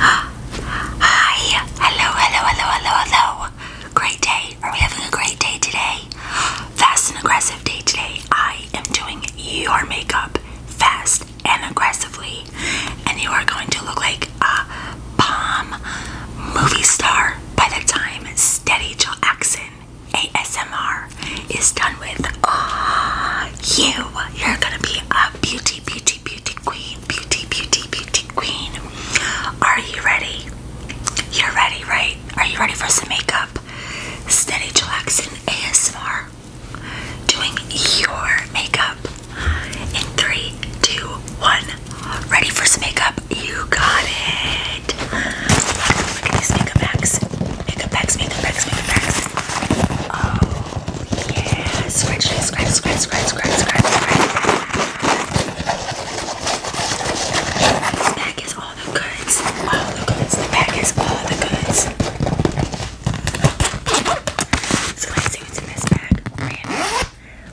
Hi, hello, hello, hello, hello, hello. Great day. Are we having a great day today? Fast and aggressive day today. I am doing your makeup fast and aggressively, and you are going to look like a bomb movie star by the time Steady Axon ASMR is done with. Uh, you, you're gonna be a beauty, beauty, beauty queen, beauty, beauty, beauty queen. Are you ready? You're ready, right? Are you ready for some makeup? Steady Axon ASMR doing your makeup in three, two, one. Ready for some makeup? You got it. Look at these makeup packs. Makeup packs, makeup packs, makeup packs. Oh, yeah. Scratch, scratch, scratch, scratch, scratch, scratch, scratch. This bag is all the goods. All the goods. The bag is all the goods. let's see what's in this bag.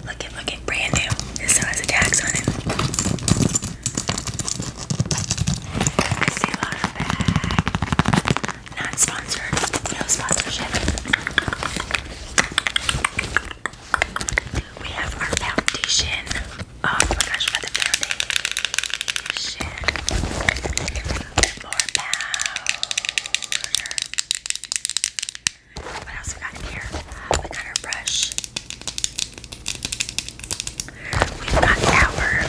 Look at, look at, brand new. This still has a tax on it. I see a lot of bag. Not sponsored. No sponsorship. We have our foundation. Oh my gosh, what the foundation. More powder. What else we got in here? We got our brush. We've got our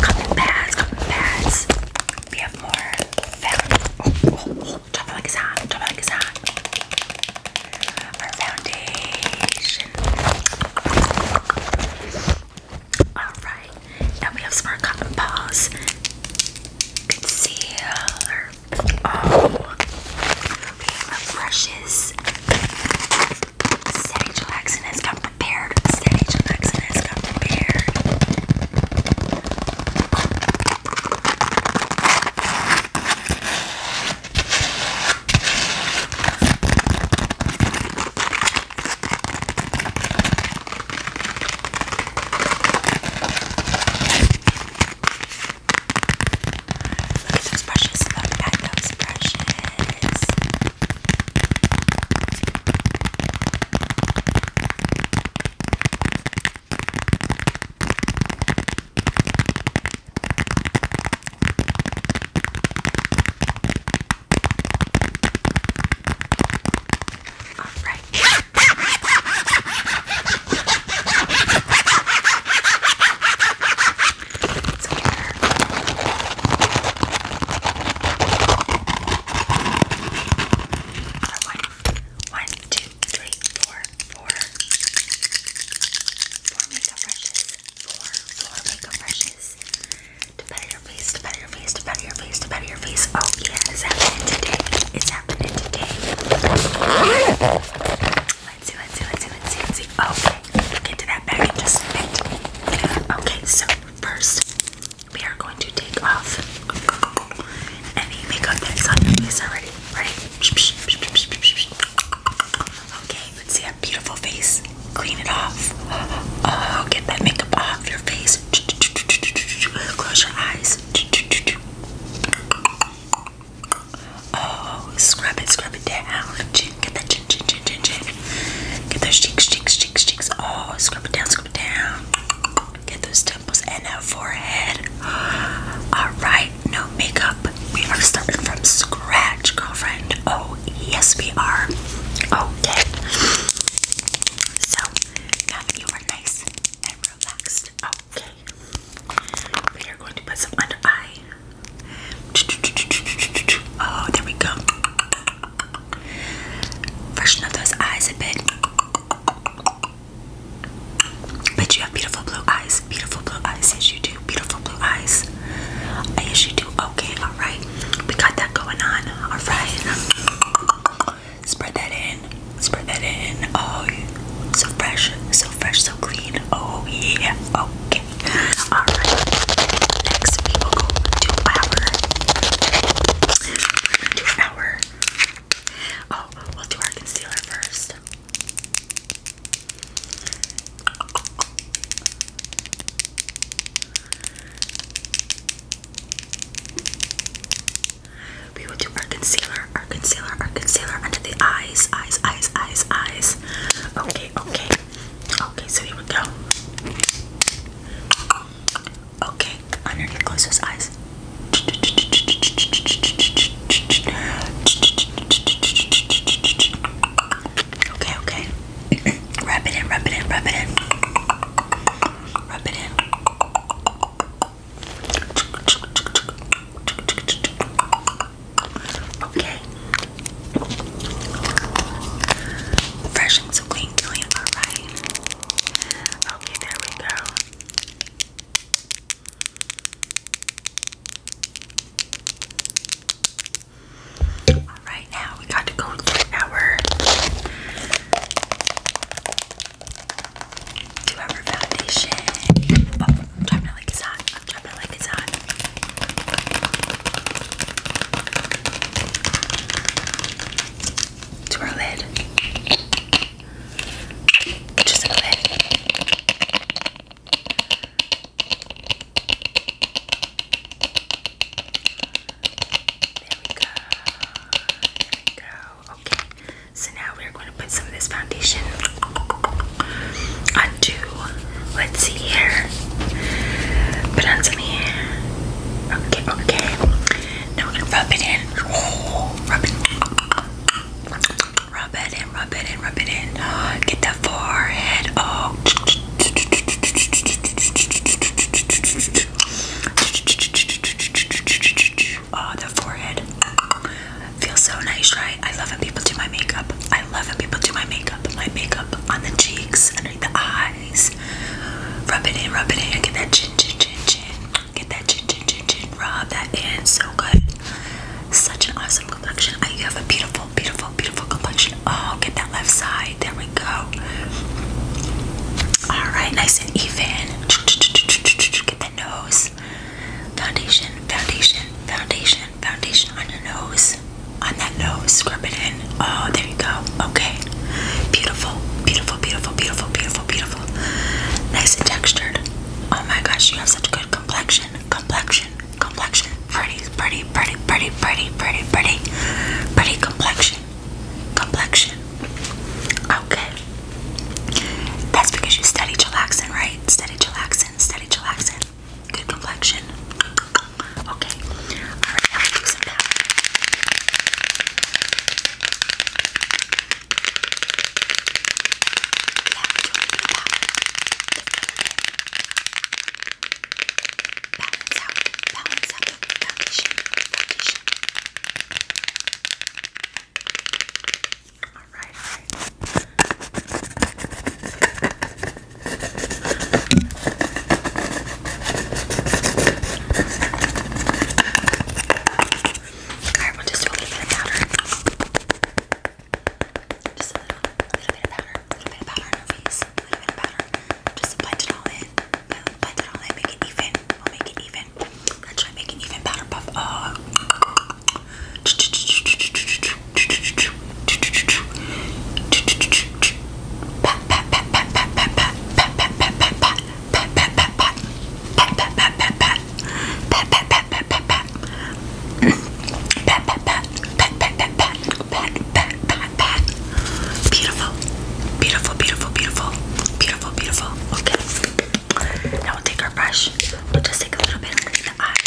cotton pads, cotton pads. We have more foundation. Oh, oh, oh like it's hot, drop like it's hot. Our foundation. Alright, and we have some more cotton balls. Concealer. Oh, brushes. Steady Jackson has come prepared. Steady Jackson has come prepared. Those expressions, look oh, brushes. All right. One, two, three, four, four. Four makeup brushes. Four, four makeup brushes. To better your face, to better your face, to better your face, to better your face. Oh yeah, it's happening today. It's Let's see, let's see, let's see, let's see, let's see. Okay, get to that bag in just a Okay, so first we are going to take off any makeup that's on your face already. Ready? Okay, let's see that beautiful face. Clean it off. Oh, get that makeup off your face. Close your eyes. Oh, scrub it, scrub it down. Chin, get that chin, chin, chin, chin, chin. Get those cheeks, cheeks, cheeks, cheeks. Oh, scrub it down, scrub it down. Get those temples and that forehead. Alright, no makeup. We are starting from scratch, girlfriend. Oh, yes, we are. Okay. So, now that you are nice and relaxed Okay. We are going to put some under eye. Oh, there we go. Freshen up those eyes a bit. But you have beautiful blue eyes. Beautiful blue eyes. Yes, you do. Beautiful blue eyes. Yes, you do. Okay, alright. We got that going on. Alright. Spread that in. Spread that in. Oh, so fresh, so fresh, so clean. Oh yeah. Okay. All right. Next, we will go to our. To our. Oh, we'll do our concealer first. We will do our concealer, our concealer, our concealer under the eyes, eyes, eyes, eyes, eyes. Okay, okay. Okay, so here we go. Okay, underneath close those eyes. Okay, okay. rub it in, rub it in, rub it in. Rub it in. Okay. Fresh and so clean, alright. Okay, there we go. Alright, now we got to go to our do our foundation. Oh, I'm like it's hot. I'm dropping like it's hot. To our lid. Just a lid. There we go. There we go. Oh, okay, so now we're going to put some of this foundation onto, let's see here, put on some here. Okay, okay. Now we're going to rub it in. rub it. Rub it in, rub it in, rub it in. get the forehead. Oh, the forehead. Feels so nice, right? I love when people do my makeup. I love when people do my makeup. My makeup on the cheeks, underneath the eyes. Rub it in, rub it in. Get that chin, chin, chin, chin. Get that chin, chin, chin, chin. Rub that in. So good. Such an awesome complexion. I, have a beautiful, beautiful, beautiful complexion. Oh, get that left side. There we go. All right, nice and even. Get the nose nose. Foundation, foundation, foundation, foundation on your nose. On that nose, scrub it in. Oh, there you go. Okay. Beautiful, beautiful, beautiful, beautiful, beautiful, beautiful. Nice and textured. Oh my gosh, you have such good complexion. Complexion, complexion. Pretty, pretty, pretty, pretty, pretty, pretty, pretty. Pretty complexion. Complexion. Okay. That's because you study chillaxin, right? Study chillaxin, study chillaxin. Good complexion. Okay. Alright, now we'll powder. Yeah, do a little Balance out, balance out the foundation, foundation. Okay. Alright, alright. Alright, we'll just do a little bit of powder. Just a little, bit of powder. A little bit of powder on her face. A little bit of powder. Just blend it all in. Blend it all in. Make it even. We'll make it even even. Let's try making even better puff. Uh, Beautiful, beautiful, beautiful, beautiful, beautiful, beautiful. Okay. Now we'll take our brush. We'll just take a little bit under the eyes.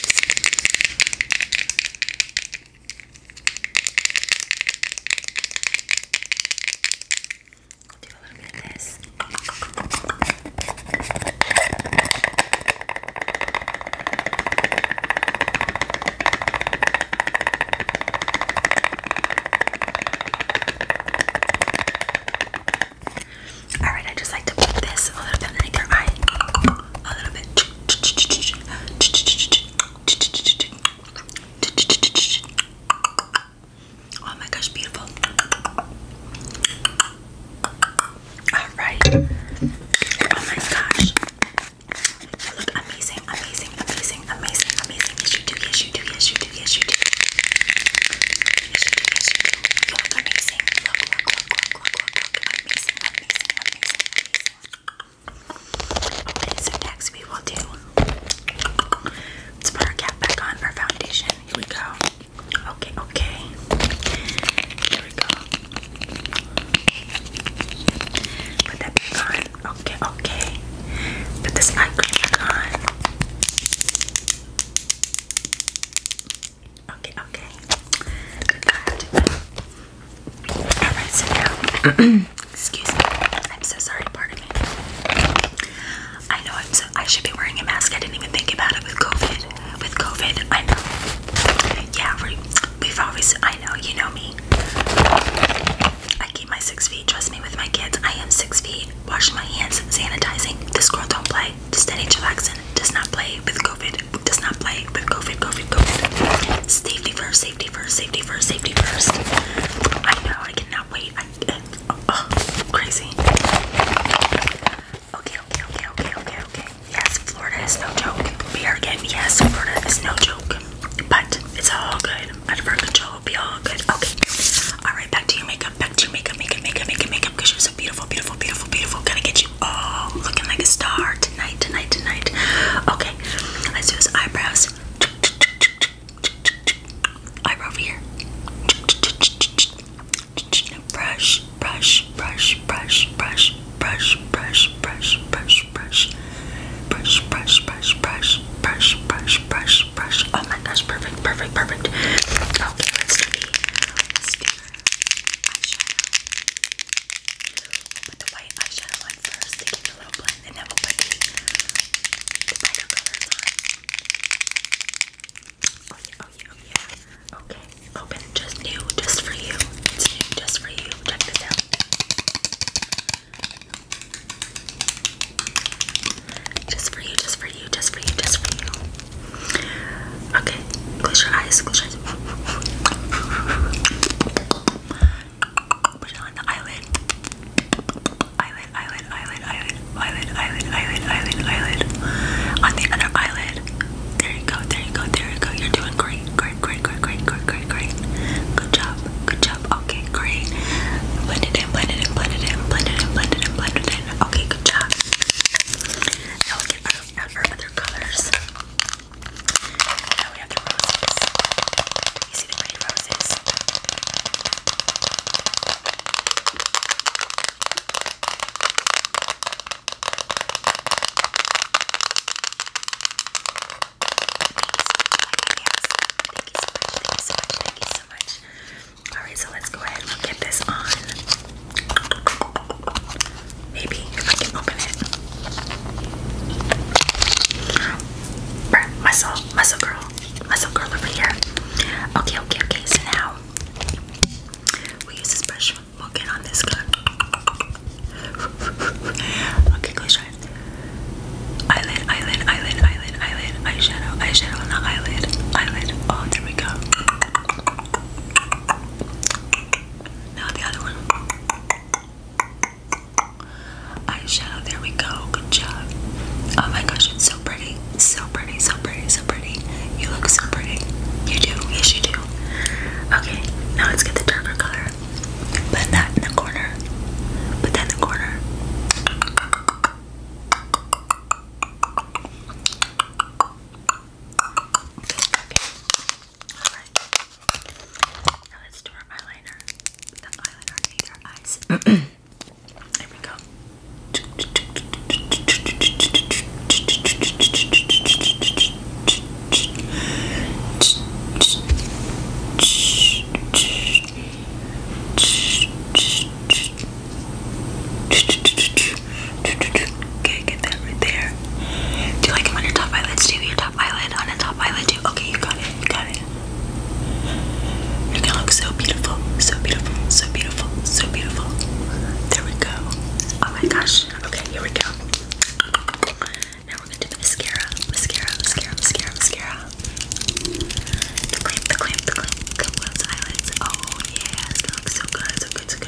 do a little bit of this. Alright, I just like to put this a little bit underneath your eye. A little bit. Oh my gosh, beautiful. Alright. Oh my gosh. You look amazing, amazing, amazing, amazing, amazing. Yes, you do, yes, you do, yes, you do, yes, you do. Okay, so next we will do. Let's put our cap back on our foundation. Here we go. Okay, okay. Here we go. Put that back on. Okay, okay. Put this eye cream on. Okay, okay. Good card. Alright, so now excuse me. I'm so sorry, pardon me. I know i should be wearing a mask. I didn't even think about it with COVID. With COVID, I know. Yeah, we've always I know, you know me. I keep my six feet, trust me with my kids. I am six feet. Wash my hands, sanitizing. This girl don't play. Steady chillaxin. Does not play with COVID. Does not play with COVID, COVID, COVID. Safety first, safety first, safety first, safety first. I know, I cannot wait. I, oh, oh, crazy. Okay, okay, okay, okay, okay, okay. Yes, Florida is no joke. We are getting, yes, Florida is no joke. But it's all good. Out of our control, be all good. Okay. All right, back to your makeup, back to your makeup, makeup, makeup, makeup, makeup, because you're so beautiful, beautiful, beautiful, beautiful. Gonna get you all looking like a star tonight, tonight, tonight. Okay, let's do his eyebrows. Eyebrow over here. Brush, brush, brush, brush, brush, brush, brush, brush, brush, brush, brush, brush, brush, brush, brush, brush, brush, brush. Oh my gosh, perfect, perfect, perfect. Okay, let's do the let's do eyeshadow. Put the white eyeshadow first to a little blend, and then we put the, colors on. Oh yeah, oh yeah, oh yeah. Okay, open. Just new, just for you. It's new, just for you. Check this out. Just for you, just for you, just for you, just for you. Okay, close your eyes, close your eyes. Put it on the eyelid. Eyelid, eyelid, eyelid, eyelid, eyelid, eyelid, eyelid, eyelid, eyelid. On the other eyelid. There you go, there you go, there you go. You're doing great, great, great, great, great, great, great, great. Good job, good job. Okay, great. Blend it in, blend it in, blend it in, blend it in, blend it in, blend it in. Okay, good job. Now we can other colors. Now we have the roses. You see the pretty roses? Thank you so much. Thank you so much. Thank you so much. Alright, so let's go ahead and get this on. Maybe if I can open it. Burn, muscle, muscle girl, muscle girl over here. Okay, okay, okay. So now we use this brush. We'll get on this good. okay, close your eyes. Eyelid, eyelid, eyelid, eyelid, eyelid, eyeshadow, eyeshadow, not eyelid, eyelid. Oh, there we go. Now the other one. Eyeshadow, there we go. Good job. Oh my gosh, it's so pretty. So pretty, so pretty, so pretty. You look so pretty. You do, yes you do. Okay, now let's get the darker color. Put that in the corner. Put that in the corner. Okay. Alright. Now let's do our eyeliner. The eyeliner needs our eyes. there we go. Okay, get that right there. Do you like it on your top eyelids too? Your top eyelid on a top eyelid too? Okay, you got it, you got it. You're gonna look so beautiful, so beautiful, so beautiful, so beautiful. There we go. Oh my gosh. Okay, here we go. Now we're gonna do the mascara, mascara, mascara, mascara, mascara. The clamp, the clamp, the clamp, the clamp eyelids. Oh yeah, it's going so good, so good, so good.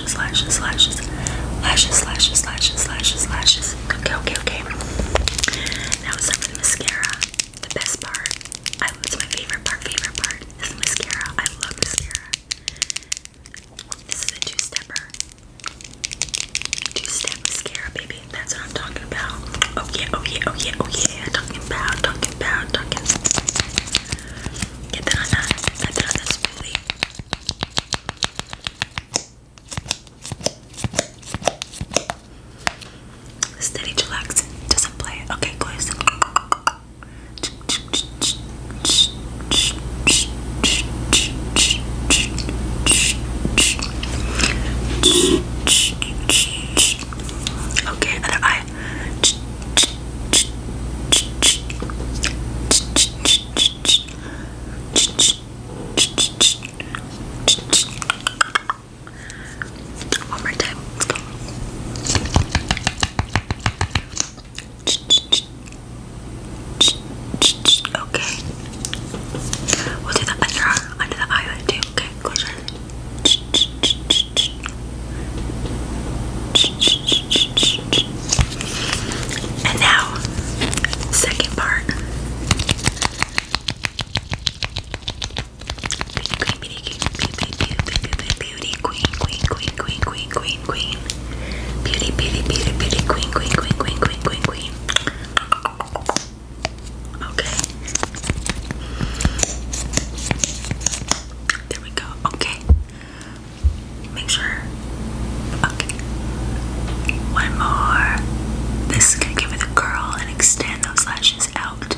lashes, lashes, lashes, lashes, lashes, lashes, lashes, lashes. Okay, okay, okay. Now it's time for the mascara. The best part. I it's my favorite part, favorite part is mascara. I love mascara. This is a two-stepper. Two-step mascara, baby. That's what I'm talking about. Oh yeah, oh yeah, oh yeah, oh yeah. Talking about, talking about, talking get that on that, get that on that smoothie. Steady, chillax, doesn't play Okay, guys. Okay, other eye. One more time. Let's go. Okay. We'll do the under, under the eyelid too. Okay, close your eyes. And now, second part. Beauty queen, queen, queen, queen, queen, queen, queen. Beauty, beauty, beauty, beauty, queen, queen, queen, queen, queen, queen, queen. Okay. There we go. Okay. Make sure. Okay. One more. This is gonna give it a curl and extend those lashes out.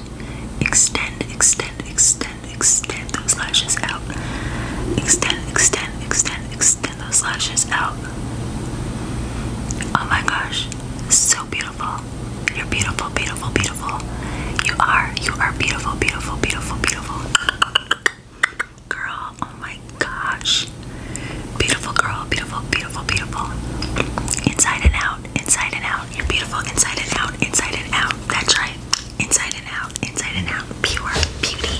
Extend, extend, extend, extend those lashes out. Extend, extend, extend, extend those lashes out. Oh my gosh. So beautiful. You're beautiful, beautiful, beautiful. You are, you are beautiful, beautiful, beautiful, beautiful. Girl, oh my gosh. Beautiful girl, beautiful, beautiful, beautiful. Inside and out, inside and out. You're beautiful inside and out, inside and out. That's right. Inside and out, inside and out. Pure beauty.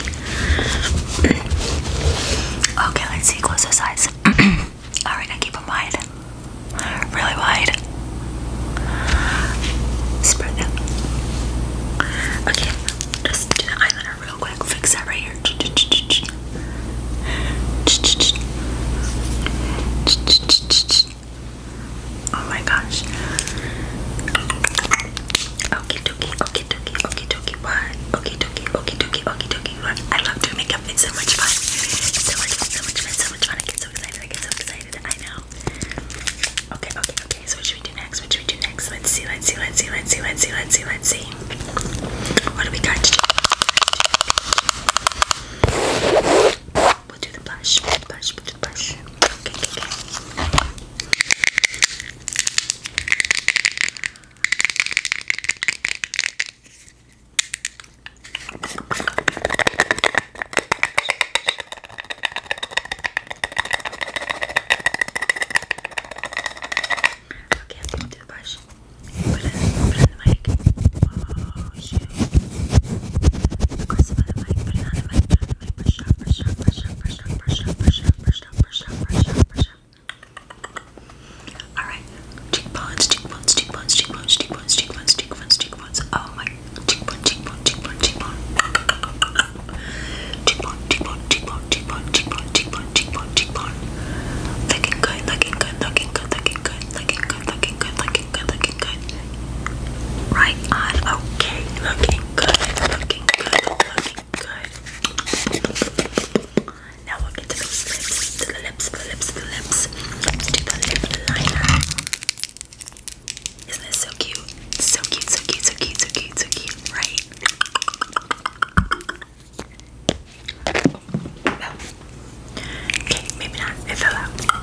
okay, let's see closest eyes. Alright, now keep them wide. Really wide. Spread it. Okay, just do the eyeliner real quick. Fix that right here. Oh my gosh. Okay, dokie, okay, dokie, okay, dokie, what? Okay, dokie, okay, dokie, okay, dokie, what? I love doing makeup. It's so much fun. so much fun, so much fun, so much fun. I get so excited. I get so excited. I know. Okay, okay, okay. So what should we do next? What should we do next? Let's see, let's see, let's see, let's see, let's see, let's see, let's see. What do we got to do? We'll do the blush. Blush, blush. Okay, okay, okay. Okay, I'm do the brush. Put it, put Oh, my! Aggressive on the mic. Put it on the mic. Put Brush brush brush brush brush brush brush brush brush brush Alright. Cheekbones, cheekbones, cheekbones, cheekbones, cheekbones, cheekbones, cheekbones, cheekbones. Oh my cheekbone, cheekbone, cheekbone, cheekbone, cheekbone, cheekbone, cheekbone, cheekbone, cheekbone, cheekbone, cheekbone, cheekbone. Looking good, looking good, looking good, looking good, looking good, looking good, looking good, looking good. Right on, okay, looking good, looking good, looking good. Now we'll get to the lips, to the lips, the lips, the lips, to the lip liner. Isn't this so cute? So cute, so cute, so cute, so cute, so cute, right? okay, maybe not. It fell out. Okay.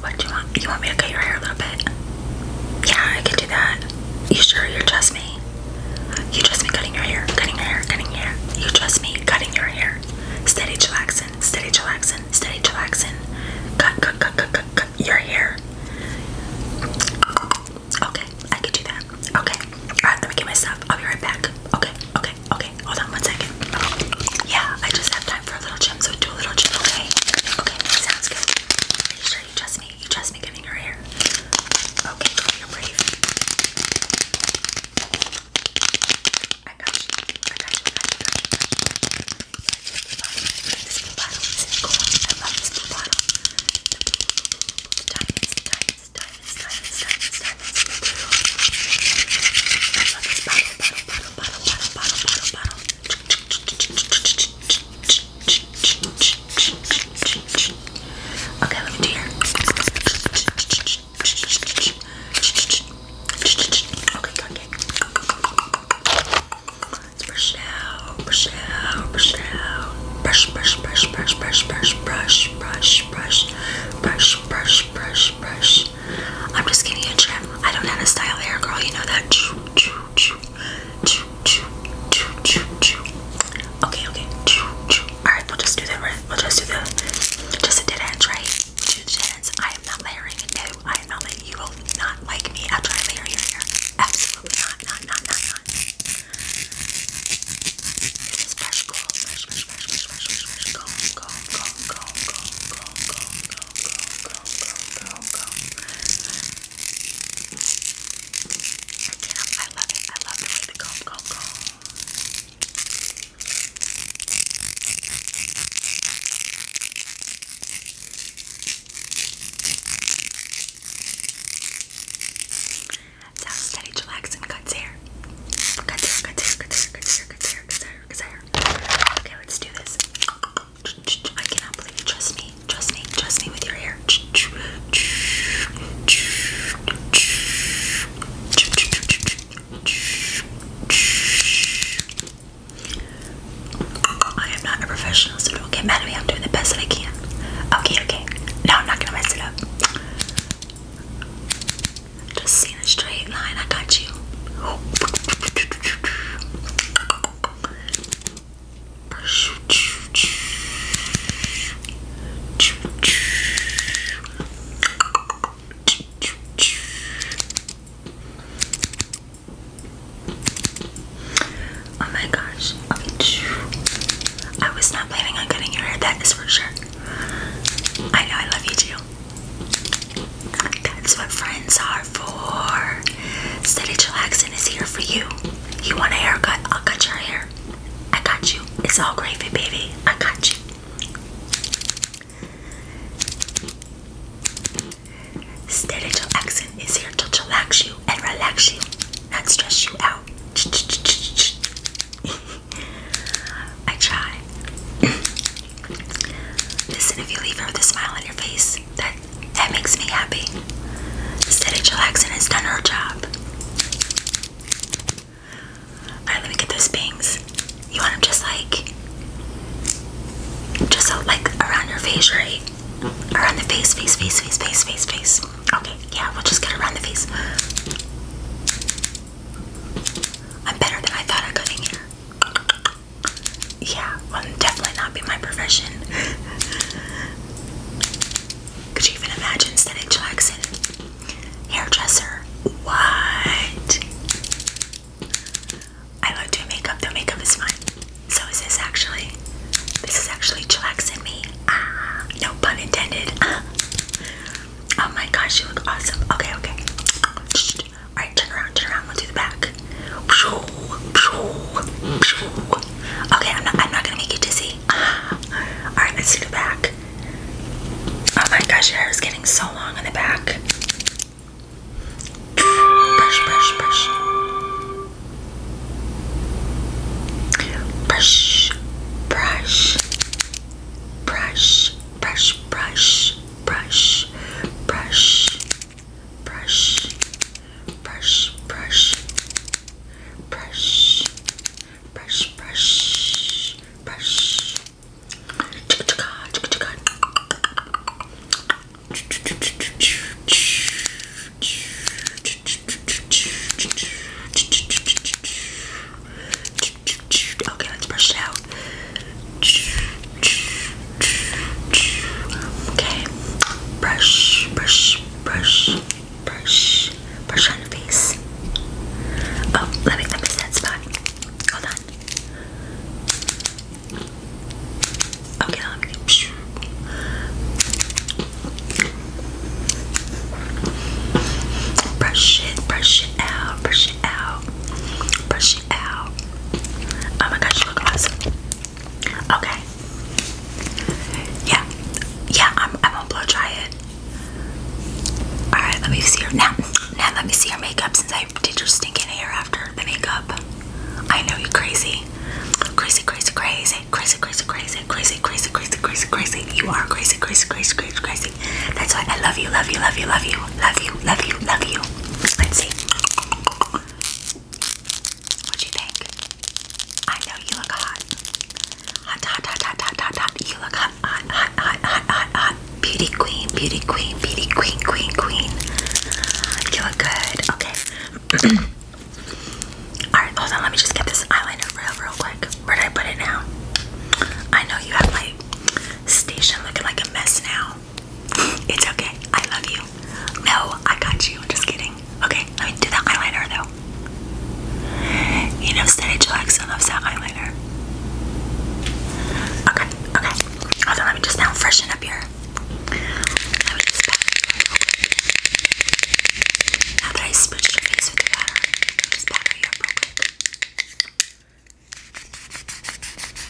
What do you want? You want me to cut your hair a little bit? Yeah, I can do that. You sure you trust me? You trust me cutting your hair, cutting your hair, cutting your hair. You trust me cutting your hair. Steady chillaxin, steady chillaxin, steady chillaxin. Cut, cut, cut, cut, cut, your hair. Okay, I can do that. Okay. Alright, let me get my stuff. I'll be right back. Okay, okay, okay. Hold on one second. Yeah, I just have to for a little gym, so do a little gym, okay? Okay, sounds good. Are you sure you trust me? You trust me giving her hair? Okay, you brave. I got you. I got you. I got you. I got you. I got This bottle I love this bottle. bottle, bottle, bottle, bottle, bottle, bottle, bottle, bottle. Okay, let me do your. Okay, okay. Let's brush it out, brush it out, brush it out. Brush, brush, brush, brush, brush, brush, brush, brush, brush, brush, brush, brush, brush much. I'm just getting a trim. I don't know how to style hair, girl. You know that. Choo, choo, choo. Choo, choo, choo, choo, choo. Okay, okay. Choo, choo. Alright, we'll just do the We'll just do the. Just a dead ends, right? Two dead ends. I am not layering. No, I am not layering. You will not like me after I layer your hair. Absolutely not, not, not, not, not. This is fresh gold. Fresh, fresh, fresh, fresh, fresh, fresh, fresh. Gold, gold, gold, gold, gold, gold, gold, gold go, go, go, go. I love it. I love the way the comb, comb, comb. That's how Steady Chillax and cuts hair. Cuts hair, cuts hair, cuts hair, cuts hair, cuts hair, cuts hair, cuts hair. Okay, let's do this. I cannot believe it. Trust me. Trust me. Trust me with your hair. I am not a professional, so don't get mad at me. I'm doing the best that I can. Okay, okay. No, I'm not gonna mess it up. Just seeing a straight line. I got you. Oh my gosh. I was not planning on cutting your hair, that is for sure. I know I love you too. That's what friends are for. Steady Chillaxin is here for you. You want a haircut? I'll cut your hair. I got you. It's all gravy, baby. I got you. Steady Chillaxin is here to chillax you and relax you, not stress you out. I try. Listen, if you leave her with a smile on your face, that that makes me happy. Instead of and has done her job. Alright, let me get those bangs. You want them just like just like around your face, right? Around the face, face, face, face, face, face, Okay, yeah, we'll just get around the face. I'm better than I thought I could in here yeah, well, definitely not be my profession. Could you even imagine Steady Jackson? Hairdresser. What? I love doing makeup, though makeup is fun. So is this actually. This is actually chillaxing me. Ah, no pun intended. Oh my gosh, you look awesome. Okay, okay. Alright, turn around, turn around. Let's do the back. Okay, I'm not, I'm not gonna make you dizzy. Uh-huh. Alright, let's do the back. Oh my gosh, your hair is getting so long in the back. Brush, brush, brush. Brush, brush. Brush, brush, brush, brush, brush, brush, brush, brush, brush, brush, brush, brush. Okay, let's brush it out. Okay. Brush, brush, brush, brush, brush on your face. Oh, let me let me set spot. Hold on. Okay, Brush it, brush it out, brush it out, brush it out. Oh my gosh, you look awesome. Okay. Yeah. Yeah, I'm, I'm gonna blow dry it. Alright, let me see your now now let me see your makeup since I did your stinking hair after the makeup. I know you're crazy. Crazy, crazy, crazy, crazy, crazy, crazy, crazy, crazy, crazy, crazy, crazy. You are crazy, crazy, crazy, crazy, crazy. That's why I love you, love you, love you, love you, love you, love you, love you. Let's see. What do you think? I know you look hot. Hot, hot, hot, hot, hot, hot, hot. You look hot, hot, hot, hot, hot, hot, hot. Beauty queen, beauty queen, beauty queen, queen, queen. You look good. Okay. Alright, hold on. Let me just get this eyeliner real, real quick. Where did I put it now? I know you have my station looking like a mess now. It's okay. I love you. No, I got you. I'm just kidding. Okay, let me do the eyeliner though. You know, Steady Jackson loves that eyeliner. Okay, okay. Hold on, let me just now freshen up your. Now that I smooched your face with the powder, just powder you up Powder,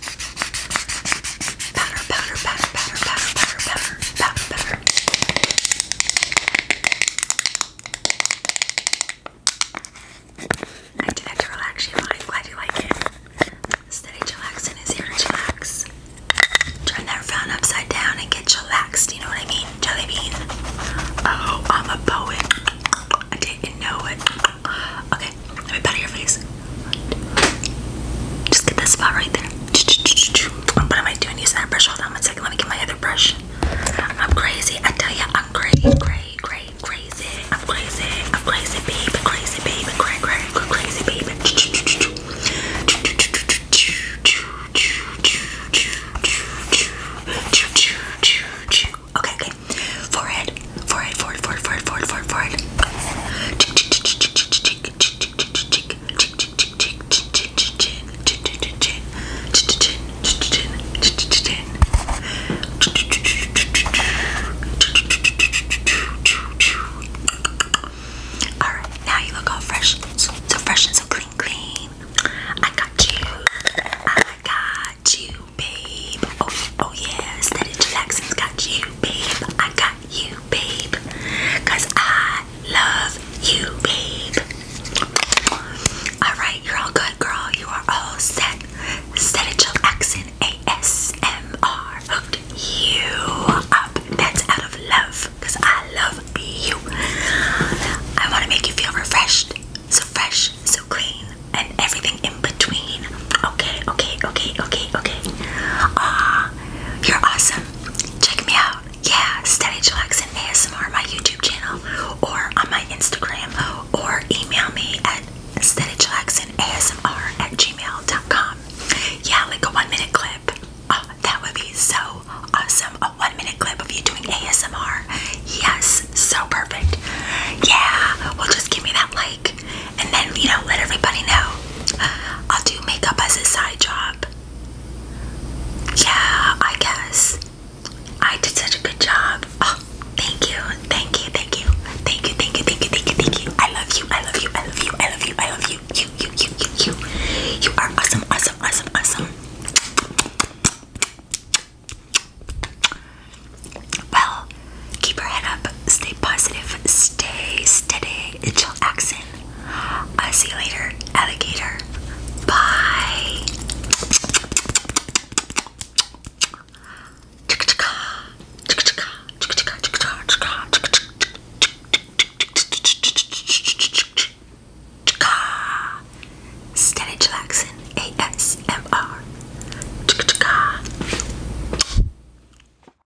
powder, powder, powder, powder, powder, powder, powder, I do that to relax you, I'm glad you like it. Steady chillaxin is here to chillax. Turn that frown upside down and get chillaxed, you know what I mean? Jelly bean. Oh, I'm a poet. I didn't know it. Okay, let me pat your face. Just get that spot right there. What am I doing? Using that brush. Hold on one second. Let me get my other brush. I'm crazy. I tell ya, I'm crazy, crazy, crazy, crazy. I'm crazy. I'm crazy, baby. Crazy, baby. Crazy, crazy, crazy, baby. Okay, okay. Forehead, forehead, forehead, forehead, forehead, forehead, forehead. All right, now you look all fresh, so, so fresh and so clean, clean. I got you. I got you, babe. Oh, oh yes, that is Jackson's got you, babe. I got got you, babe. Cause I love you, babe. Alright, you're all good, girl. You are all set. Set a chill accent ASMR. Hooked you up. That's out of love. Cause I love you. I want to make you feel refreshed. So fresh, so clean, and everything in between. Okay, okay, okay, okay, okay. Ah, you're awesome. Check me out. Yeah, Steady Chillax and ASMR, my YouTube channel, or on my Instagram, or email me at steadychillaxandasmr at gmail.com. Yeah, like a one minute clip. Oh, that would be so awesome. A one minute clip of you doing ASMR. Yes, so perfect. Yeah, well, just give me that like and then you know let everybody know uh, i'll do makeup as a side job yeah i guess i did such a good job oh, thank you thank you thank you thank you thank you thank you thank you i love you i love you i love you i love you i love you you you you you you you are awesome awesome awesome awesome well, keep your head up stay positive, stay steady, and chill accent. I'll see you later, alligator. Bye. Stanley Jackson ASMR.